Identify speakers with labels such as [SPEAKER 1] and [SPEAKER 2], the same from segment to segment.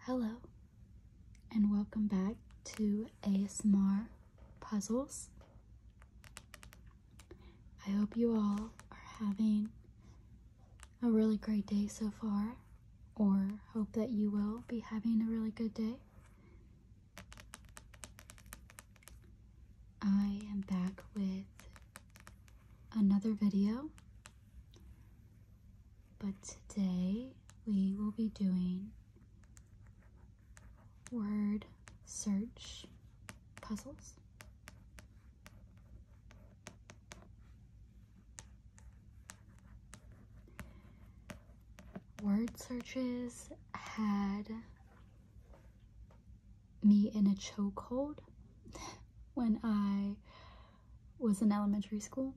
[SPEAKER 1] Hello, and welcome back to ASMR Puzzles. I hope you all are having a really great day so far, or hope that you will be having a really good day. I am back with another video but today we will be doing word search puzzles. Word searches had me in a chokehold when I was in elementary school.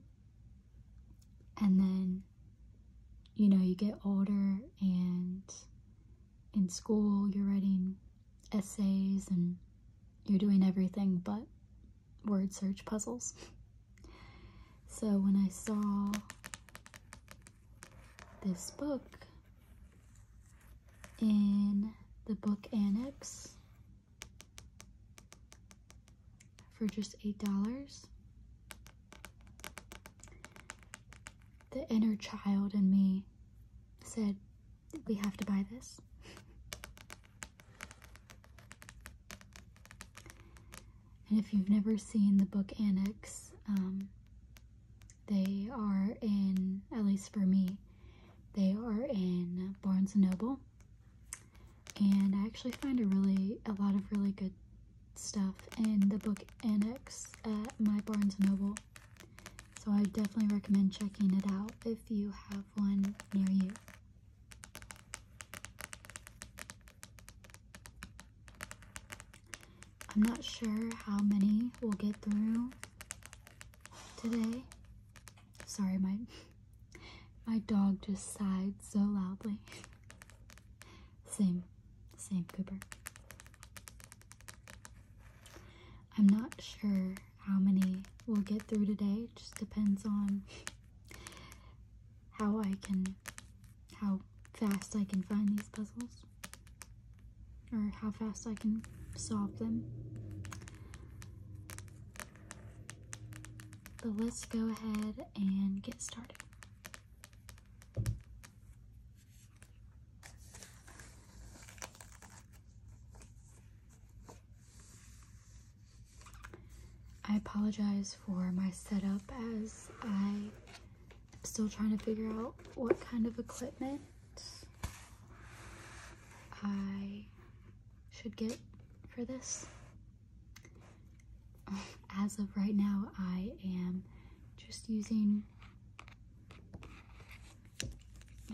[SPEAKER 1] And then, you know, you get older and in school you're writing essays and you're doing everything but word search puzzles. so when I saw this book in the book annex for just eight dollars. The inner child in me said, We have to buy this. and if you've never seen the book Annex, um, they are in, at least for me, they are in Barnes and Noble, and I actually find a really a lot of really good stuff in the book annex at my Barnes and Noble. So I definitely recommend checking it out if you have one near you. I'm not sure how many we'll get through today, Sorry, my my dog just sighed so loudly. Same, same Cooper. I'm not sure how many we'll get through today. just depends on how I can, how fast I can find these puzzles or how fast I can solve them. But let's go ahead and get started. I apologize for my setup as I'm still trying to figure out what kind of equipment I should get for this. As of right now, I am just using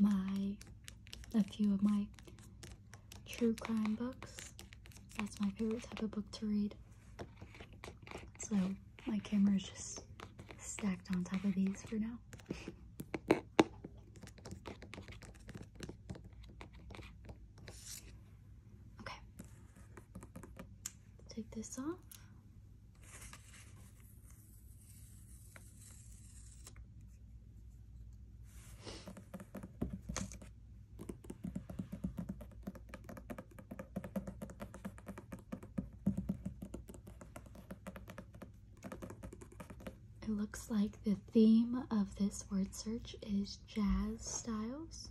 [SPEAKER 1] my a few of my true crime books. That's my favorite type of book to read. So my camera is just stacked on top of these for now. Okay. Take this off. It looks like the theme of this word search is jazz styles.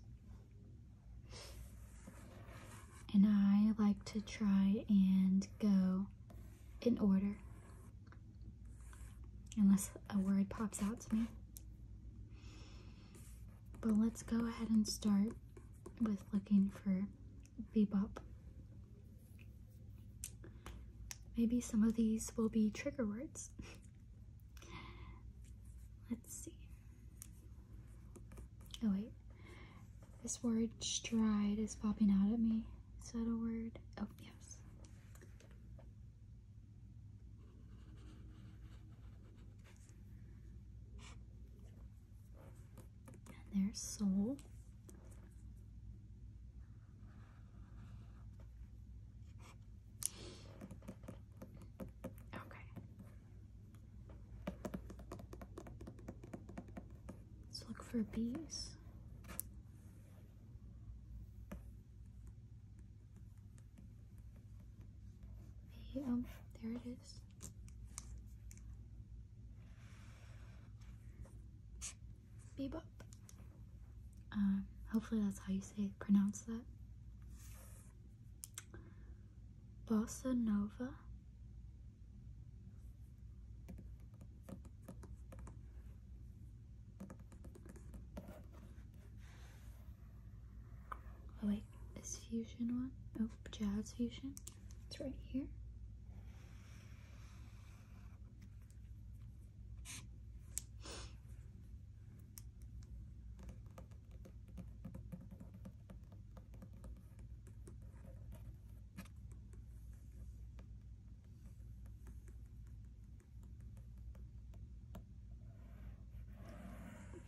[SPEAKER 1] And I like to try and go in order, unless a word pops out to me. But let's go ahead and start with looking for bebop. Maybe some of these will be trigger words. Let's see. Oh, wait. This word stride is popping out at me. Is that a word? Oh, yes. there's soul. Okay. Let's look for bees. The, um, there it is. Bebop. Um, hopefully that's how you say pronounce that. Bossa Nova. Oh wait, is fusion one? Oh, jazz fusion. It's right here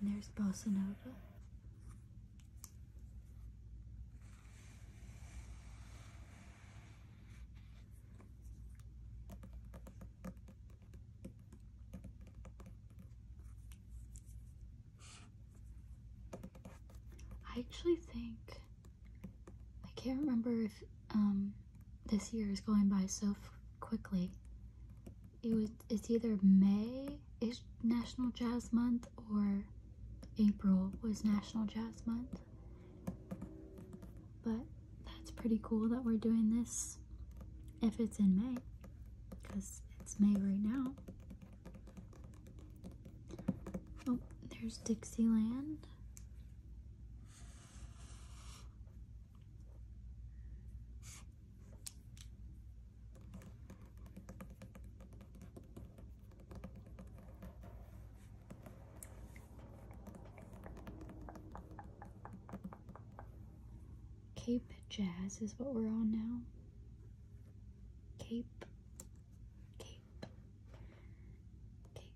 [SPEAKER 1] there's bossa nova. I actually think I can't remember if um this year is going by so quickly. It was it's either May is National Jazz Month or April was National Jazz Month. But that's pretty cool that we're doing this if it's in May, because it's May right now. Oh, there's Dixieland. Cape Jazz is what we're on now. Cape, Cape, Cape.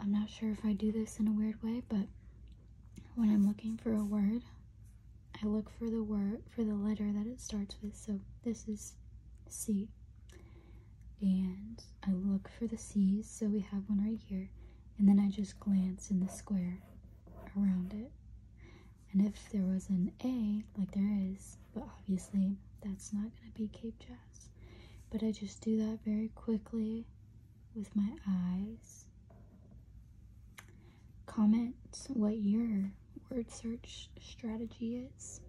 [SPEAKER 1] I'm not sure if I do this in a weird way, but when I'm looking for a word, I look for the word for the letter that it starts with. So this is C. And I look for the C's, so we have one right here. And then I just glance in the square around it. And if there was an A, like there is, but obviously that's not going to be Cape Jazz. But I just do that very quickly with my eyes. Comment what your word search strategy is.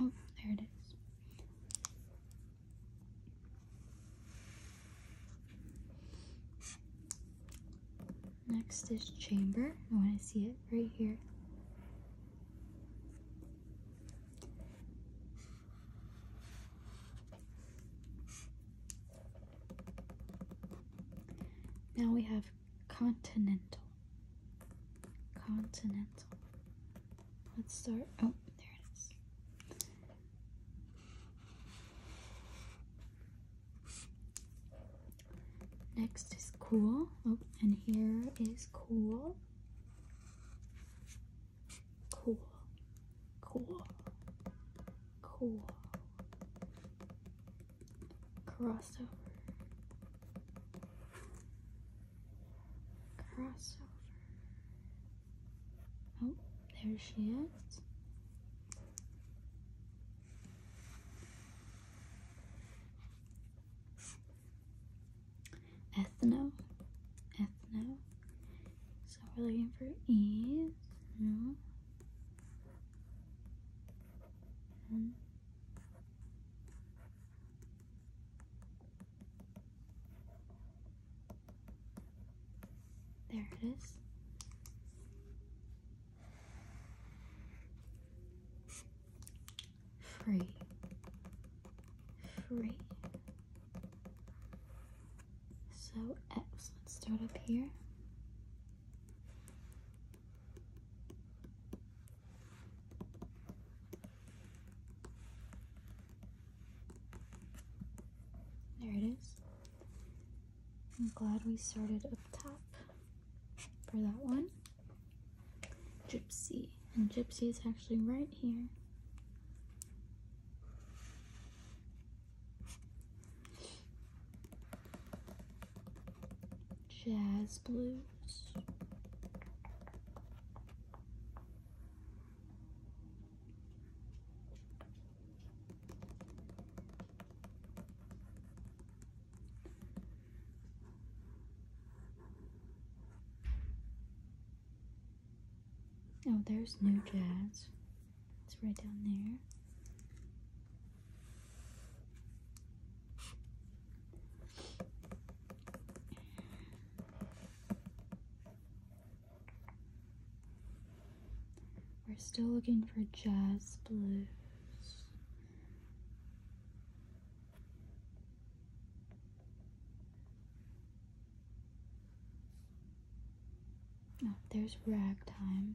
[SPEAKER 1] Oh, there it is. Next is chamber. I want to see it right here. Now we have continental. Continental. Let's start. Oh, there it is. Next is cool. Oh, and here is cool. Cool. Cool. Cool. Crossover crossover. Oh, there she is. Ethno. Ethno. So we're looking for E's. There it is. Free. Free. So X, let's start up here. There it is. I'm glad we started up top for that one. Gypsy. And Gypsy is actually right here. Jazz Blues. Oh, there's new jazz. It's right down there. We're still looking for jazz blues. Oh, there's ragtime.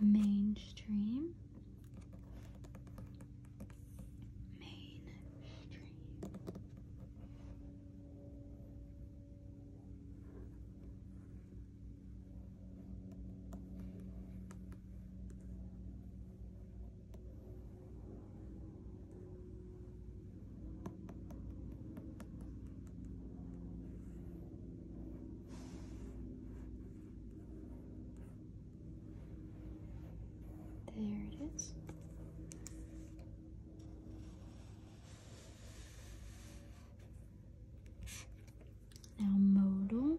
[SPEAKER 1] mainstream mainstream there it is. Now modal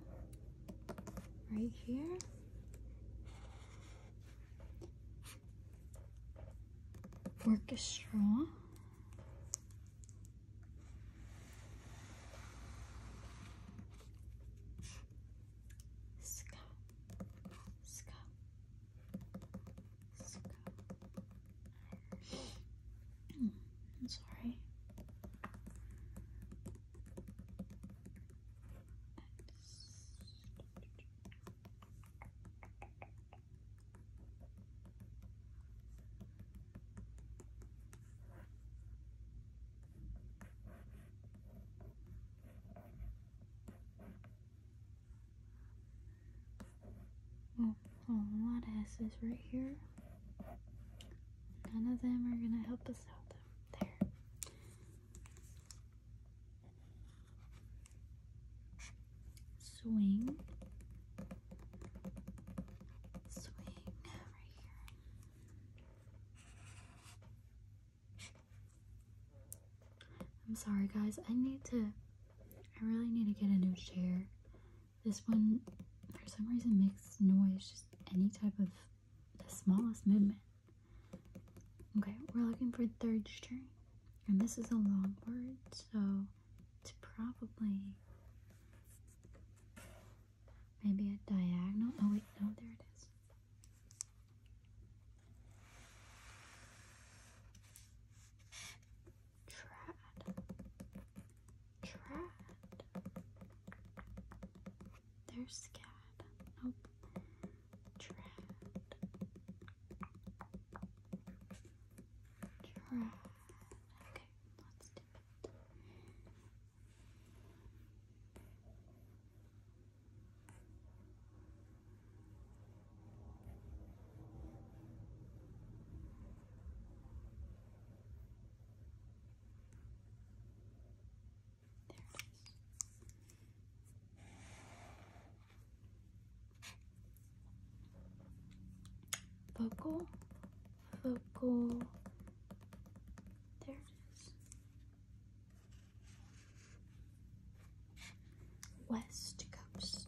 [SPEAKER 1] right here orchestra. Ska, ska, ska. I'm sorry. Well, oh, a lot of S's right here. None of them are going to help us out, There swing, swing right here. I'm sorry, guys. I need to, I really need to get a new chair. This one, for some reason, makes noise, just any type of the smallest movement. Okay, we're looking for third string. And this is a long word, so it's probably maybe a diagonal. Oh, wait, no, there it is. Trad. Trad. There's scad. Nope. Trad. Turn. Okay, let's dip it. There it is vocal, vocal, there it is, west coast,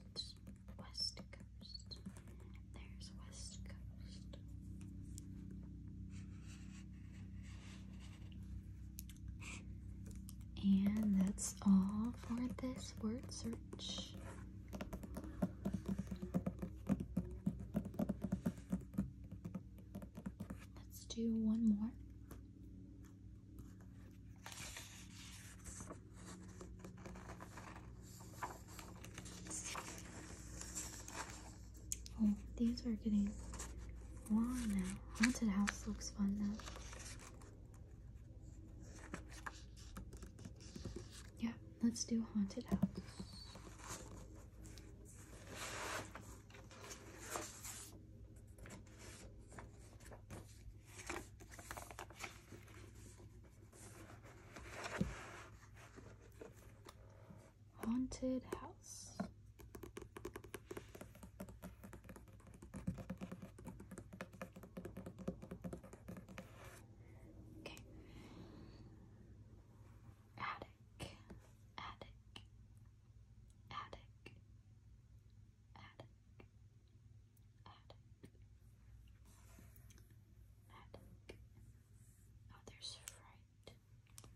[SPEAKER 1] west coast, there's west coast. And that's all for this word search Let's do one more. Oh, these are getting long now. Haunted house looks fun though. Yeah, let's do haunted house. Haunted house. Okay. Attic. Attic. Attic. Attic. Attic. Attic. Oh, there's fright.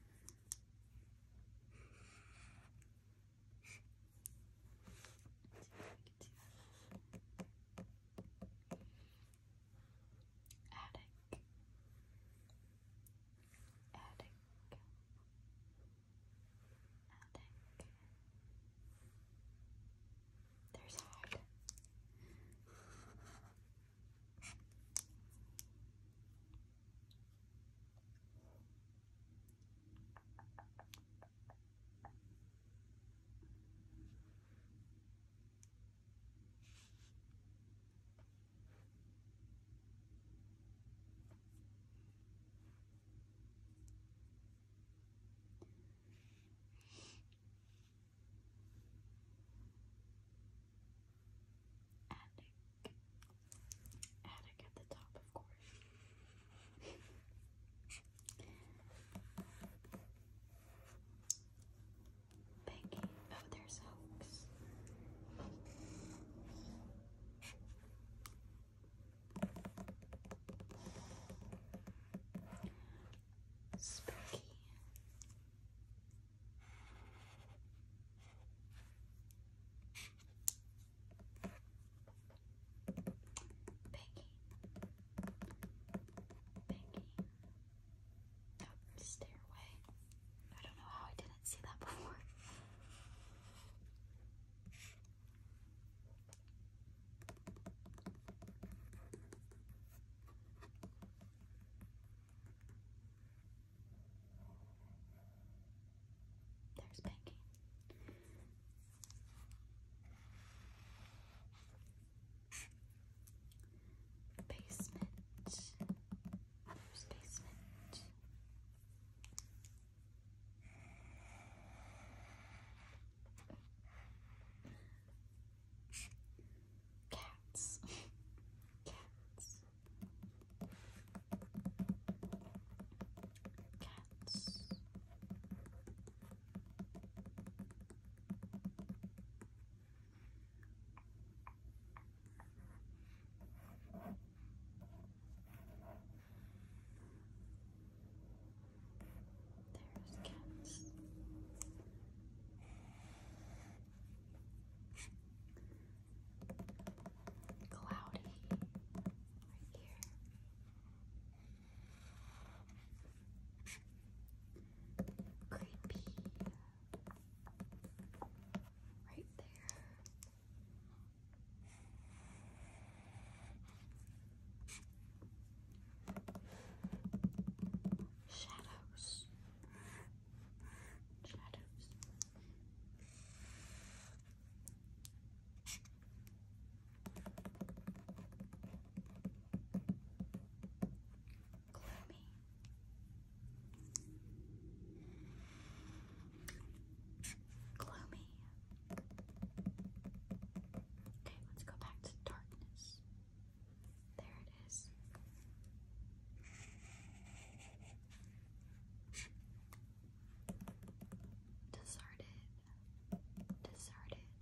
[SPEAKER 1] Attic. Attic. Attic. There's hard. Attic. Attic. Attic at the top, of course. Peggy. Oh, there's Hoax. Spooky. Peggy. Peggy. the stairway. I don't know how I didn't see that before. There's Peggy basement. basement. Cats. Cats. Cats. There's cats. Cloudy right here. Creepy. Right there. Shadows. Shadows gloomy. Gloomy. Okay, let's go back to darkness. There it is. Deserted deserted. Just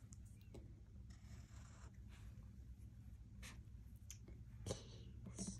[SPEAKER 1] keys. Keys. Keys.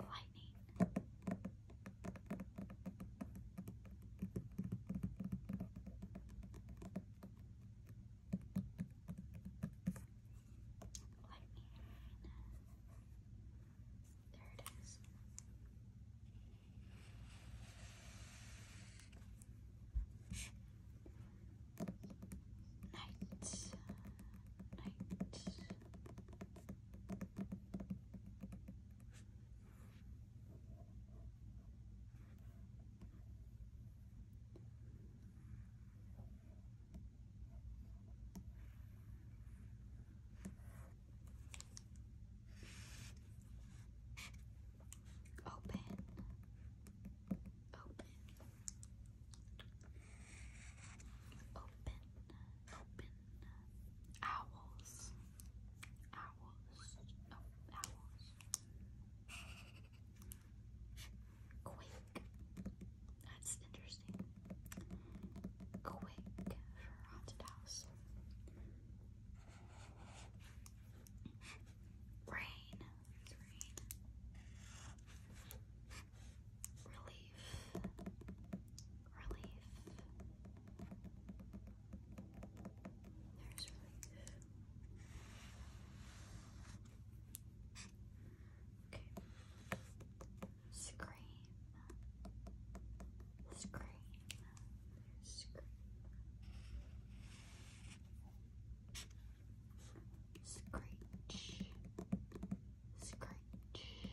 [SPEAKER 1] Lightning. Let me There it is. Night. Night. Open. Open. Open. Open. Owls. Owls. owls. Quake. That's interesting. Quake for rain. Relief. Relief. There's relief. Okay. Scream. Scream. Scream. Screech. Screech.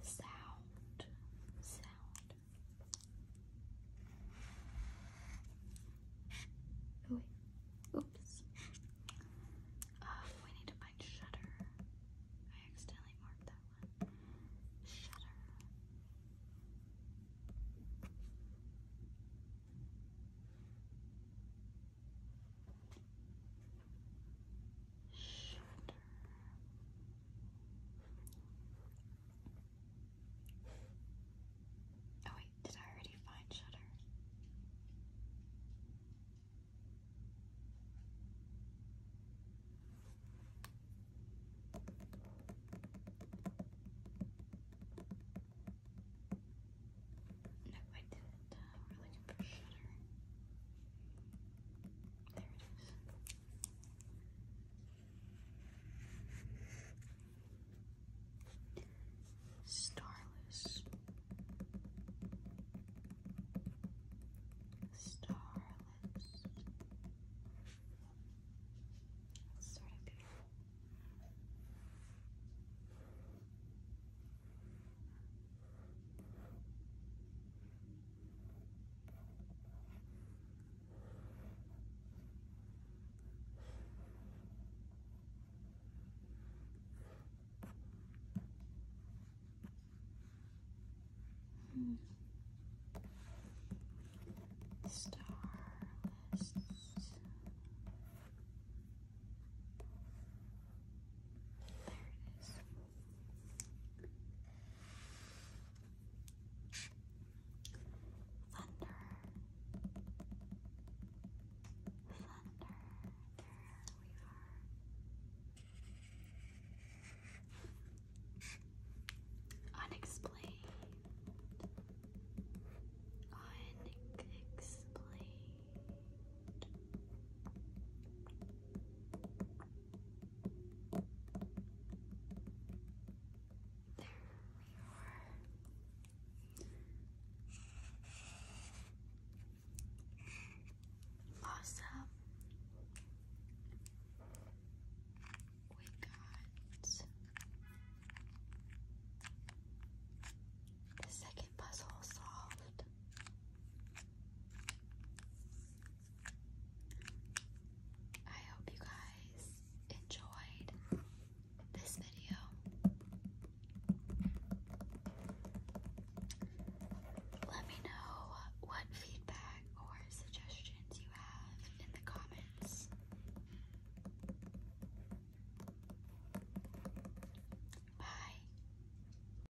[SPEAKER 1] sound, sound. Oh wait, oops. Oh, we need to find shutter. I accidentally marked that one. Shutter. Oh wait, did I already find shutter? No, I didn't. we're looking for shutter. There it is. Starless. Starless. sort of beautiful. Hmm. Star There it is. Thunder. Thunder. There we are. Unexplained. Unexplained. There we are. Awesome. We got the second puzzle solved. I hope you guys enjoyed this video. Let me know what feedback or suggestions you have in the comments. Bye.